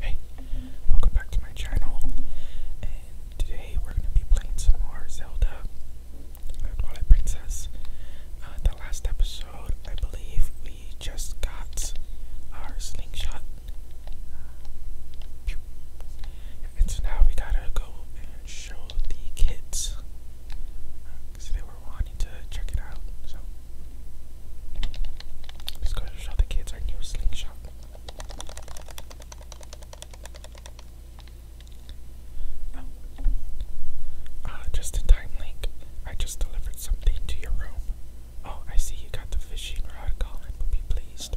Hey, welcome back to my channel, and today we're going to be playing some more Zelda uh, Twilight Princess. Uh, the last episode, I believe, we just got our slingshot. Uh, and so now we gotta go and show the kids, because they were wanting to check it out, so Let's go show the kids our new slingshot. Oh. Uh, just in time, Link. I just delivered something to your room. Oh, I see you got the fishing rod, Colin would be pleased.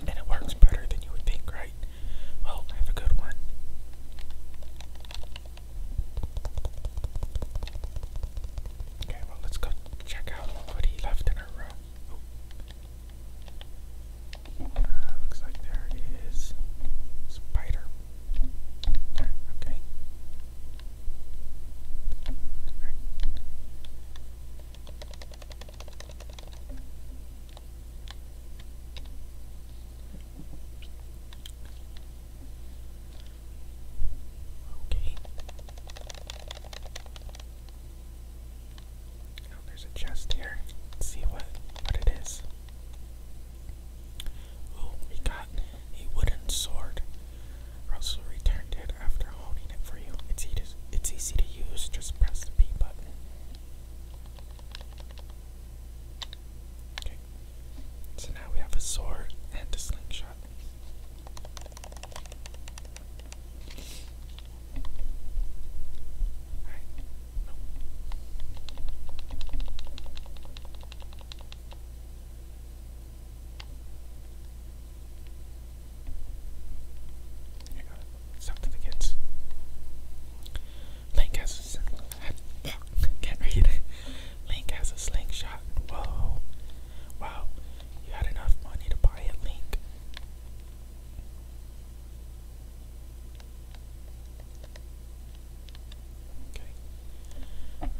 And it works better than you would think, right? Well, have a good one. Okay, well, let's go check out what he left in our room. Uh, looks like there is spider. okay. Okay. Oh, there's a chest here. see what what it is. Oh, we got a wooden sword. Russell returned it after holding it for you. It's easy. It's easy to use. Just press the B button. Okay. So now we have a sword and a slingshot. Alright. the kids. Link has a slingshot. Can't read Link has a slingshot. Whoa. Wow. You had enough money to buy a link. Okay.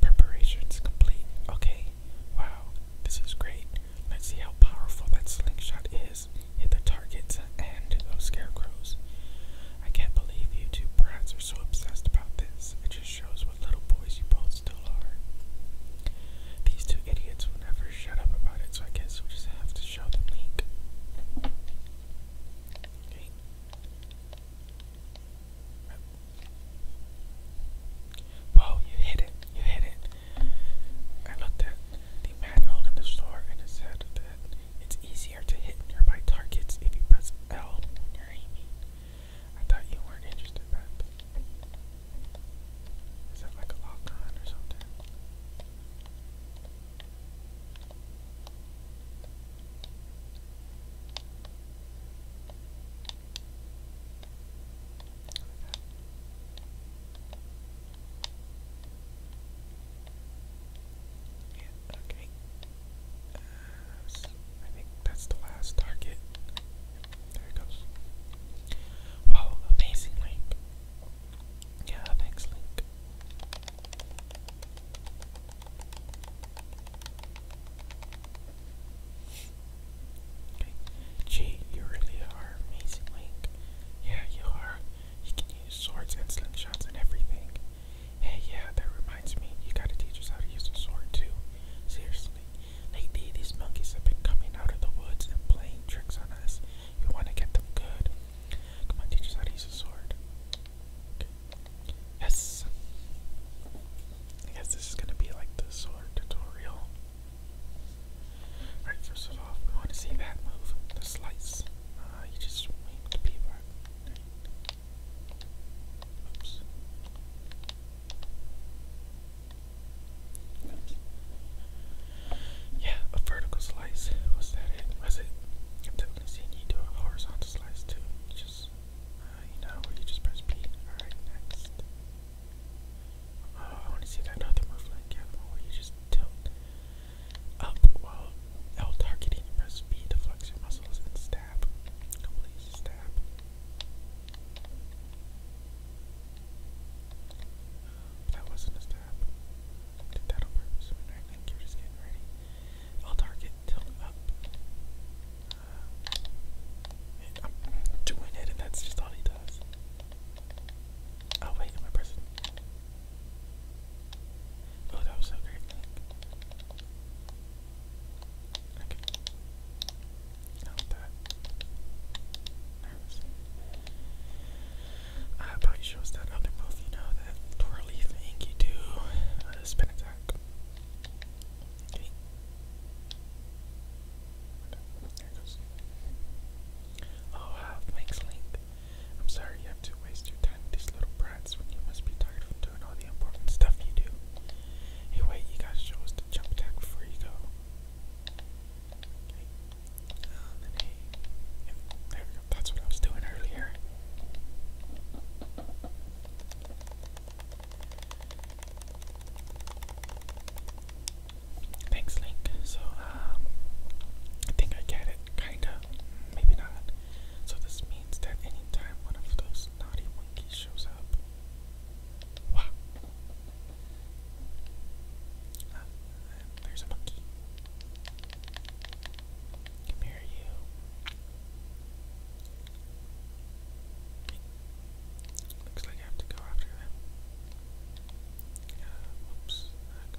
Preparations complete. Okay. Wow, this is great. Let's see how powerful that slingshot is hit the targets and those scarecrows. I can't believe you two brats are so obsessed about this. It just shows what little boys you both still are. These two idiots will never shut up about it, so I guess we just have to show them link. Whoa, you hit it. You hit it. I looked at the manual in the store and it said that it's easier to hit nearby targets if you press L when you're aiming. thought you weren't interested in that like a lock on or something? Yeah, okay. Uh, I think that's the last target. There it goes. Wow, amazing, Link. Yeah, thanks, Link. Okay. Gee, you really are amazing, Link. Yeah, you are. You can use swords and slingshots and everything. Hey, yeah, that reminds me. You gotta teach us how to use a sword too. Seriously. Lately, these monkeys have been coming out of the woods and playing tricks on us. You want to get them good. Come on, teach us how to use a sword. Yes. I guess this is gonna be like the sword tutorial. Alright, first of all, we want to see that move, the slice. Uh, you Yeah, a vertical slice. Was that it? Was it? I've definitely seen you do a horizontal slice too. just, uh, you know, where you just press P. Alright, next. Oh, I want to see that other move like where you just tilt up L targeting. Press B to flex your muscles and stab. Complete stab. That wasn't a stab. did that on purpose. I think you're just getting ready. i target tilt up. Uh, I'm doing it, and that's just all he does. Oh, wait, am I Oh, that was so great. Okay. that nervous. I probably chose that other move, you know, that twirly thing you do. Uh, spin attack. Okay. There it goes. Oh wow, thanks Link. I'm sorry you have to waste your time with these little brats when you must be tired from doing all the important stuff you do. Hey, wait, you gotta show us the jump attack before you go. Um, hey, there we go. That's what I was doing earlier. Thanks, Link. So, um, I think I get it, kinda. Maybe not. So this means that anytime one of those naughty monkeys shows up. Wow. Uh, there's a monkey. Come here, you. Looks like I have to go after them. Uh, whoops. Ah,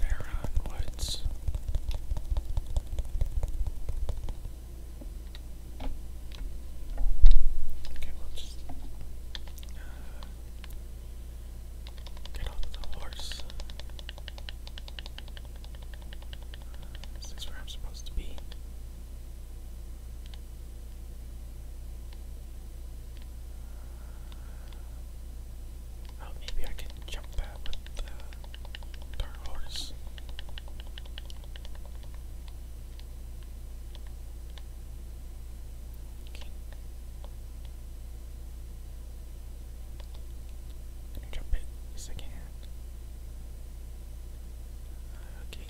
Baron Woods. Okay, we'll just uh, Get off the horse. Is where I'm supposed to be? Oh, maybe I can jump that the dark horse. Let me jump it. Yes, I Okay.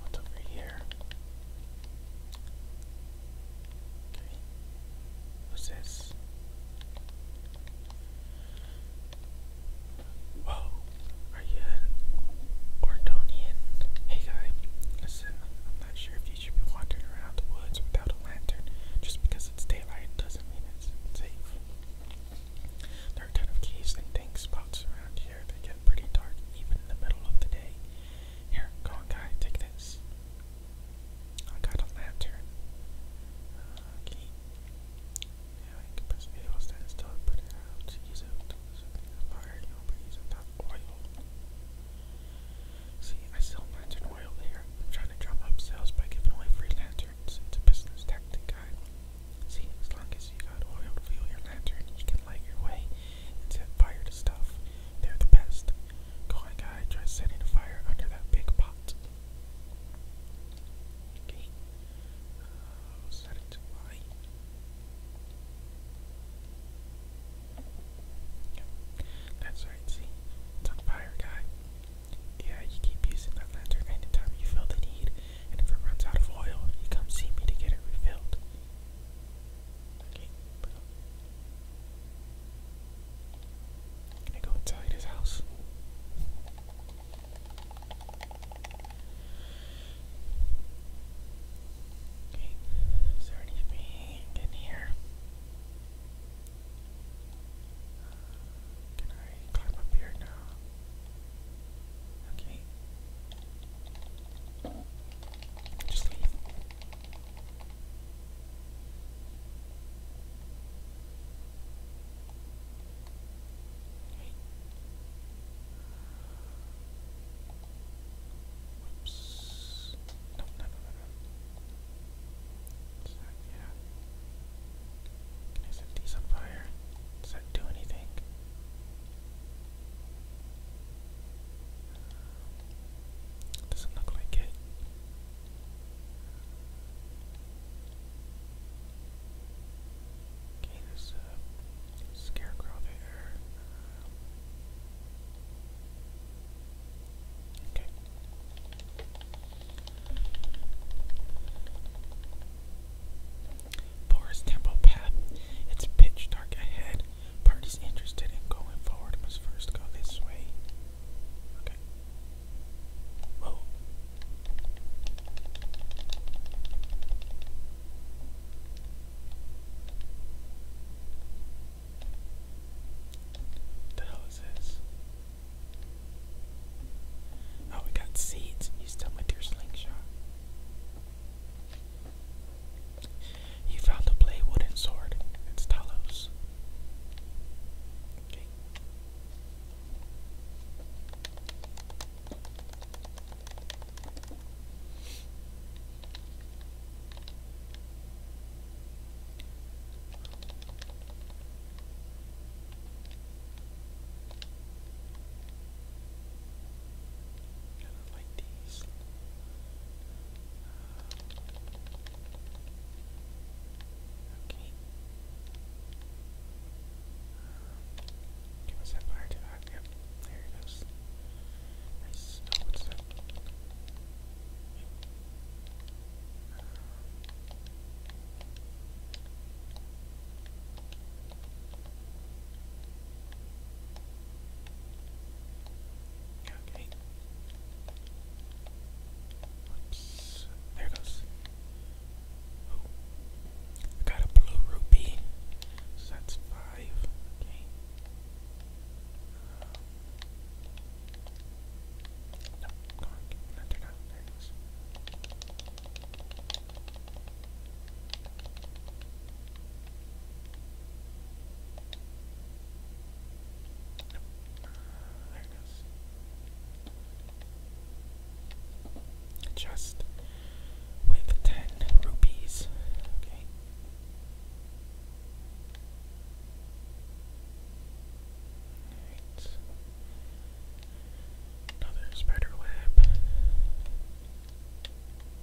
What's over here? What's this? Whoa, are you an Ordonian? Hey guy, listen, I'm not sure if you should be wandering around the woods without a lantern. Just because it's daylight doesn't mean it's safe. There are a ton of caves and dank spots around here that get pretty dark even in the middle of the day. Here, go on, guy, take this. I got a lantern. Uh, can I can press uh, A while standing still put it out See, I sell lantern oil here. I'm trying to drum up sales by giving away free lanterns. It's a business tactic, guy. See, as long as you got oil to fuel your lantern, you can light your way and set fire to stuff. They're the best. Going guy tries setting a fire under that big pot. Okay. Uh, set it Yeah. That's right, see? fire, guy. Yeah, you keep using that lantern anytime you feel the need, and if it runs out of oil, you come see me to get it refilled. Okay, can I go inside his house? Okay, is there anything in here? Can I climb up here now? Okay. Just leave. Whoops. No, yeah. Can I set these on fire? Does that do anything? Doesn't look like it. Okay, there's scarecrow there. Okay. Forest Temple Path. It's pitch dark ahead, Party's interested in going forward must first go this way. Okay. Whoa. What the hell is this? Oh, we got seeds. You still my dear slingshot. He found a play wooden sword. It's Talos. Kind of like these. Okay. Give us that fire to that. there it goes. Nice. Oh, Okay. Oops. There goes. Oh. I got a blue rupee. that's five. Okay. Um, no, come on. No, they're not. There it goes. Just with ten rupees. Okay. Another spider web.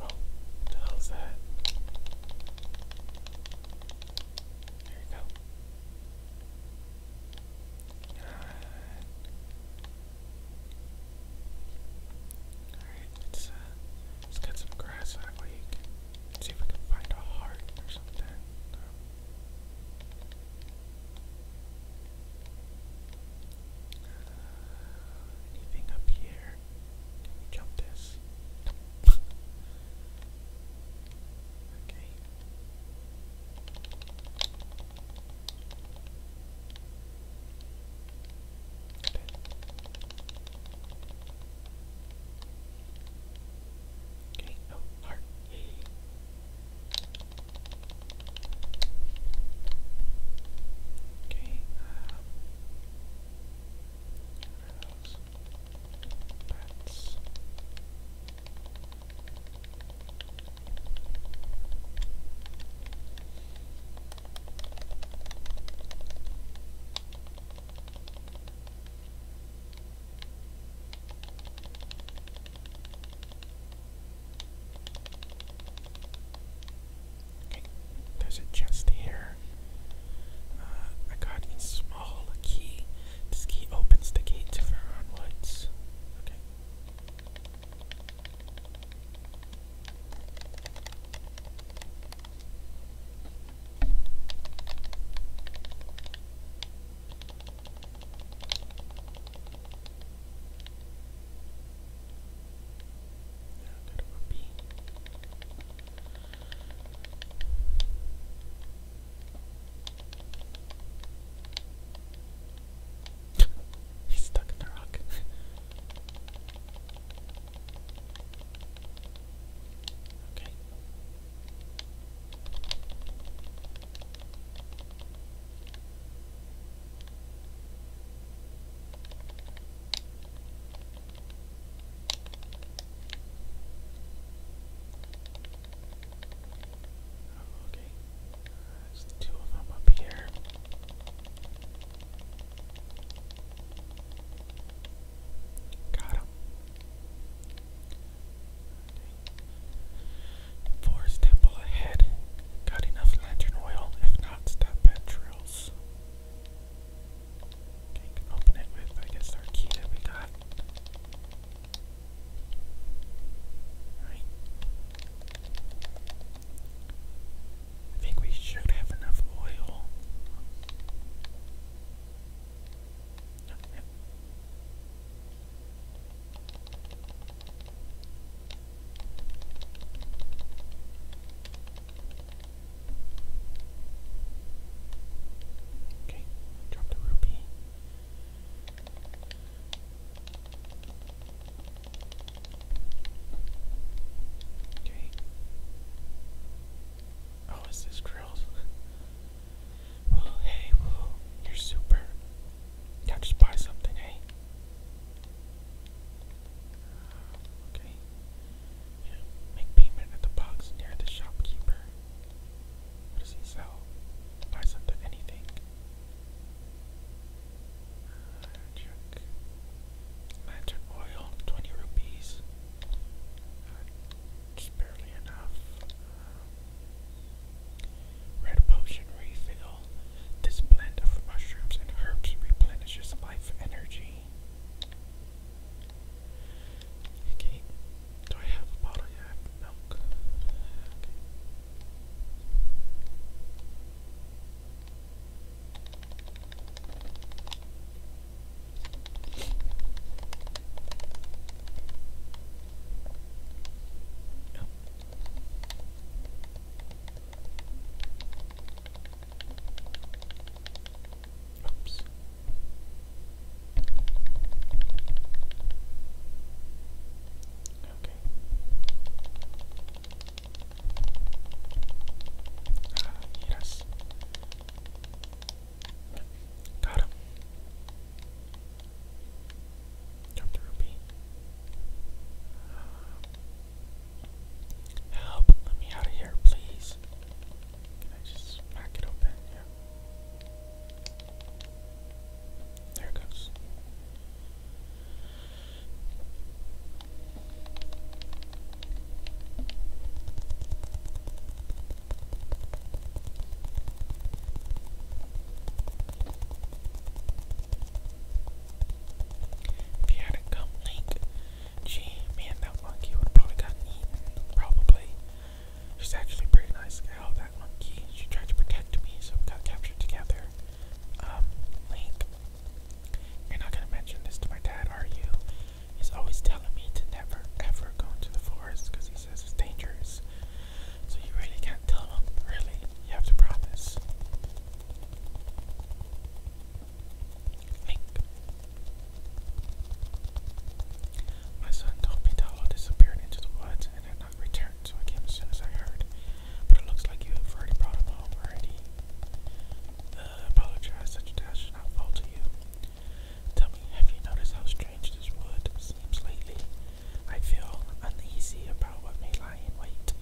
Oh, what the hell's that? There you go. Alright, let's, uh, let's get some grass that way see if we can find a heart or something. Uh, anything up here? here. Can jump this? okay. Okay. Okay, Everything else. Bats there's a chest here. Uh, I got a small key. This key opens the gate to Veron Woods. Okay. Now, He's stuck in the rock. okay. Oh, okay, there's two of them up here. Got him. Forest temple ahead. Got enough lantern oil. If not, stop at drills. Okay, open it with, I guess, our key that we got. Alright. I think we should have enough oil. Okay, drop the rupee. Okay. Oh, it's this drills? hey, you're super. Now just buy something, hey. Okay. You make payment at the box near the shopkeeper. What does he sell? Buy something, anything. check. Lantern oil, 20 rupees. barely enough. red potion refill. This blend of mushrooms and herbs replenishes life energy. Okay. Do I have a bottle? Yeah, milk. Oops. Okay. Ah, yes. Got him. Drop the rupee. help! Let me out of here, please. Can I just smack it open? Yeah. There it goes. If you hadn't come, Link, Gee, man, that monkey would have probably gotten eaten. Probably. She's actually pretty nice gal, oh, that monkey. She tried to protect me, so we got captured together. Um, Link, you're not gonna mention this to my dad, are you? He's always telling me to never, ever go into the forest because he says it's dangerous. So you really can't tell him, really. You have to promise. My son told disappeared into the woods and had not returned, so I came as soon as I heard. But it looks like you have already brought him home already. Uh, apologize, such a should not fall to you. Tell me, have you noticed how strange this wood seems lately? I feel uneasy about what may lie in wait.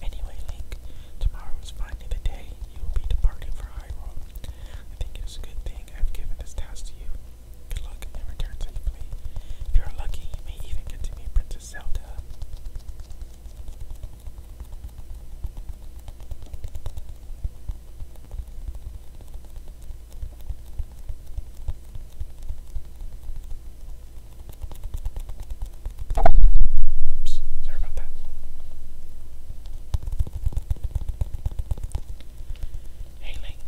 Anyway, Link, tomorrow is finally the day you'll be departing for Hyrule. I think it is a good thing I've given this task to you. Good luck and return safely. If you are lucky, you may even get to meet Princess Zelda. Oops, sorry about that. Hey Link.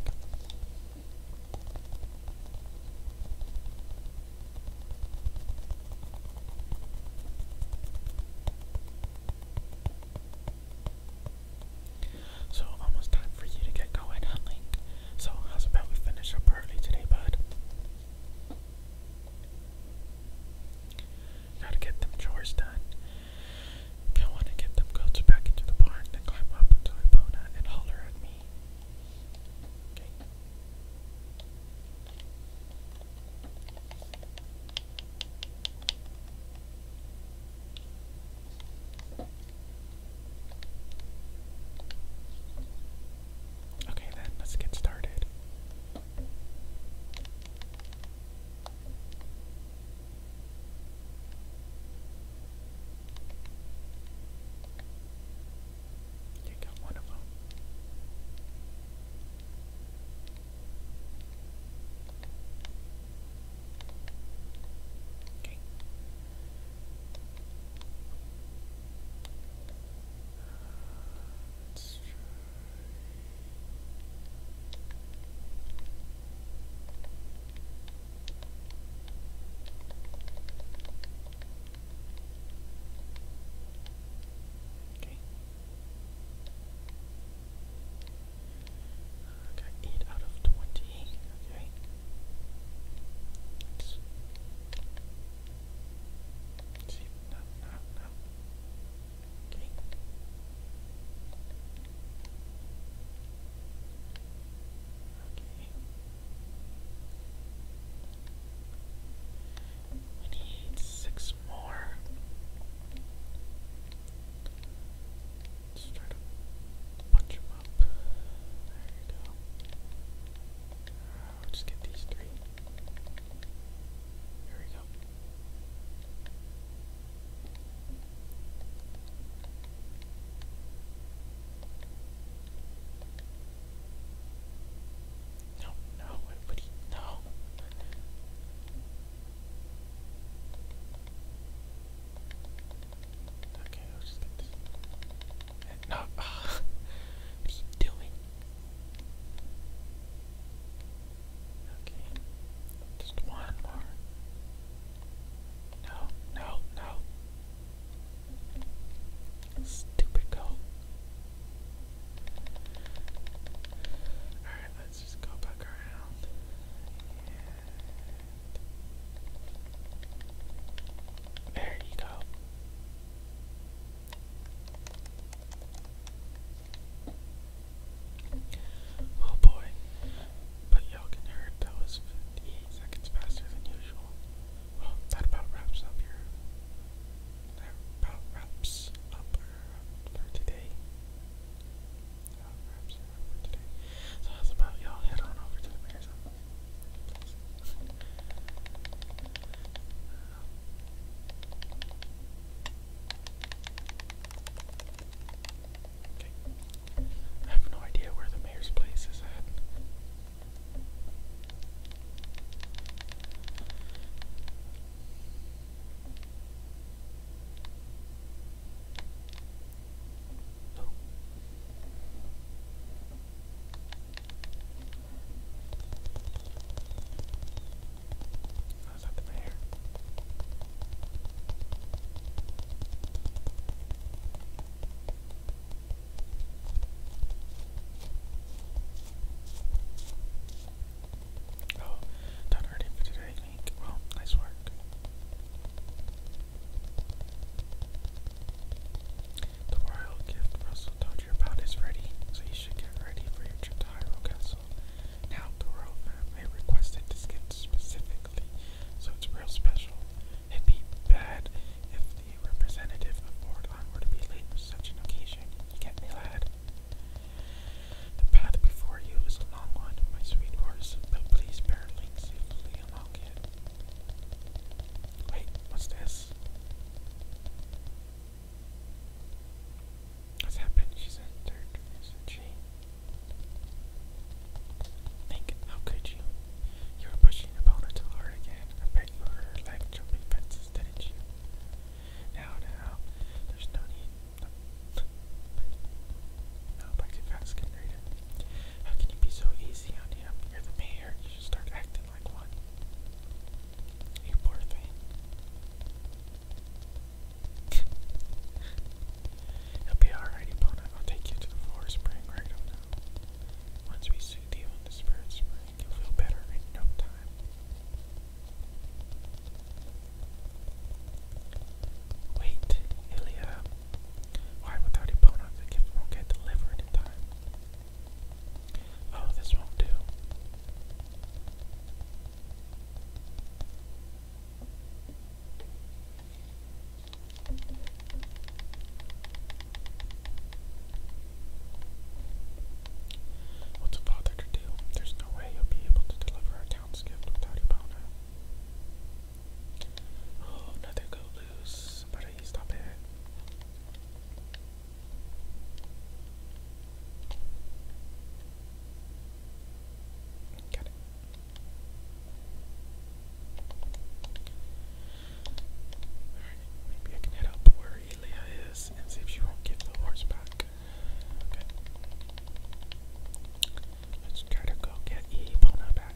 So almost time for you to get going, huh, So how's about we finish up early today, bud? Gotta get them chores done. I want to get them goats back into the barn, then climb up into Ipona and holler at me. Okay, then let's get started. Take out one of them. Okay. Uh, let Okay. I eight out of twenty. Okay. no, no, no green. We need six more. Let's try to punch them up. There you go. just get these three. Here we go. No, no, everybody, no. Okay, i this. no, what are you doing? Okay. Just one more. No, no, no. Stupid goat. Alright, let's just go back around. And there you go. Oh boy. But Jochen heard that was 58 seconds faster than usual. Well, that about wraps up your. That about wraps up for today. wraps up for today. So that's about y'all head on over to the mayor's I have no idea where the mayor's place is at. Oh, done already for today, Link. Well, nice work. The royal gift Russell told you about is ready, so you should get ready for your trip Castle. Now, the road map, I requested this skin specifically, so it's real special. It'd be bad if the representative of Mordlon were to be late for such an occasion. You get me, lad? The path before you is a long one, my sweet horse, but please bear link along it. Wait, what's this? What's happened? She's entered, isn't she? Nick, how could you? You were pushing your boulder to hard again. I bet you hurt her jumping fences, didn't you? Now, now, there's no need. No, back too fast, can How can you be so easy on him? You're the mayor. You should start acting like one. You poor thing. It'll be alright, opponent. I'll take you to the forest spring right now. Once we soothe you in the spirit spring, you'll feel better in no time. Wait, Ilya. Why without opponent the gift won't get delivered in time? Oh, this won't do. What's a father to do? There's no way he'll be able to deliver our town's without Ibana. Oh, another go loose. But I stop it. Got it. Alright, maybe I can head up where Elia is and see if she won't give the horse back. Okay. Let's try to go get Ebona back.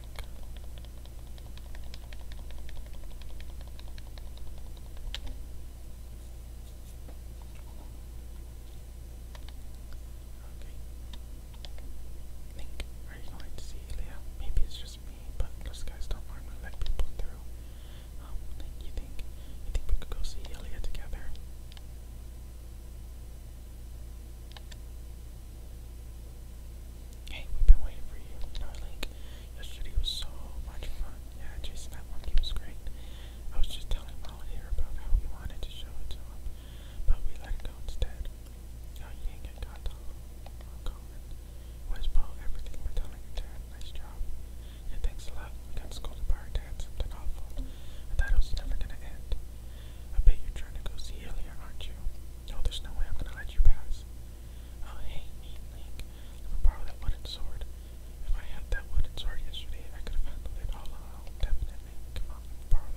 Okay. I think are you going to see Leah? Maybe it's just me, but those guys don't normally let people through. Um, you think you think we could go see Ilya together? Hey, we've been waiting for you. You yesterday was so much fun. Yeah, Jason, that one was great. I was just telling Molly here about how we wanted to show it to him but we let it go instead. Now Yang and Colin was pro everything but telling her dad, nice job. Yeah, thanks a lot. We got scolded by our dad, something awful. I thought it was never gonna end. I bet you're trying to go see Ilya, aren't you? No, oh, there's no way I'm gonna let you pass. Oh hey, mean Link, let me borrow that wooden sword. If I had that wooden sword yesterday, I could have handled it oh, all alone, definitely. Come on, borrow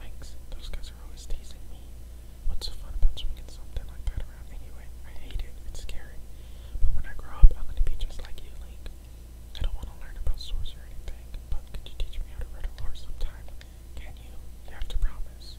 Thanks. Those guys are always teasing me. What's so fun about swinging something like that around anyway? I hate it. It's scary. But when I grow up, I'm gonna be just like you, Link. I don't want to learn about sorcery or anything, but could you teach me how to ride a horse sometime? Can you? You have to promise.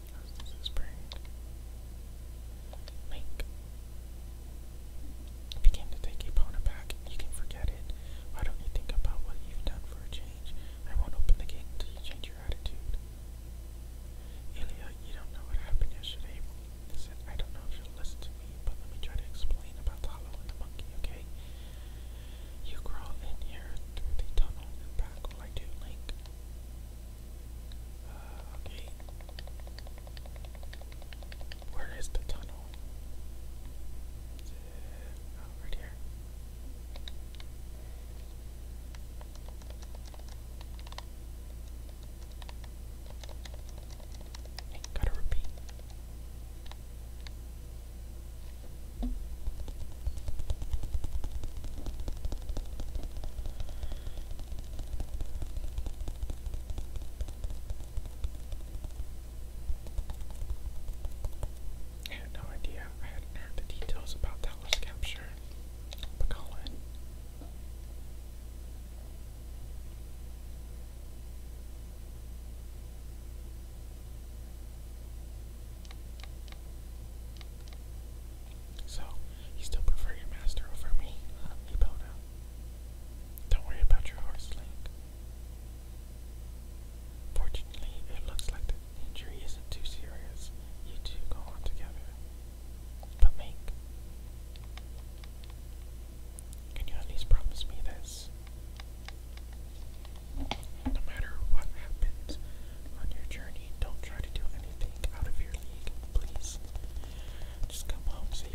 As this is buried. If you came to take your opponent back, you can forget it. Why don't you think about what you've done for a change? I won't open the gate until you change your attitude. Ilya, you don't know what happened yesterday. Listen, I don't know if you'll listen to me, but let me try to explain about the and the monkey, okay? You crawl in here through the tunnel and back like do Link. Uh, okay. Where is the tunnel? Is oh, here. gotta repeat. I had no idea. I hadn't heard the details about Talos capture. But Colin. So, you still prefer your master over me, huh, Don't worry about your horse, leg. Fortunately, it looks like the injury isn't too serious. You two go on together. But Link, can you at least promise me this? No matter what happens, on your journey. Don't try to do anything out of your league, please. Just come home safely.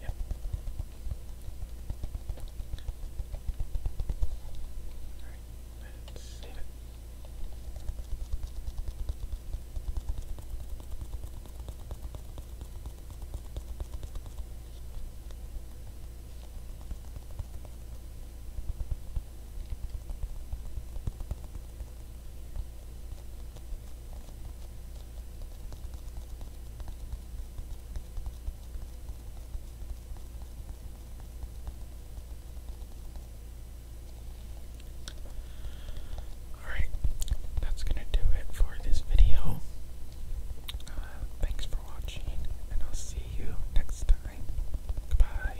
Yep. Alright, let's save it. Alright, that's going to do it for this video. Uh, thanks for watching, and I'll see you next time. Goodbye.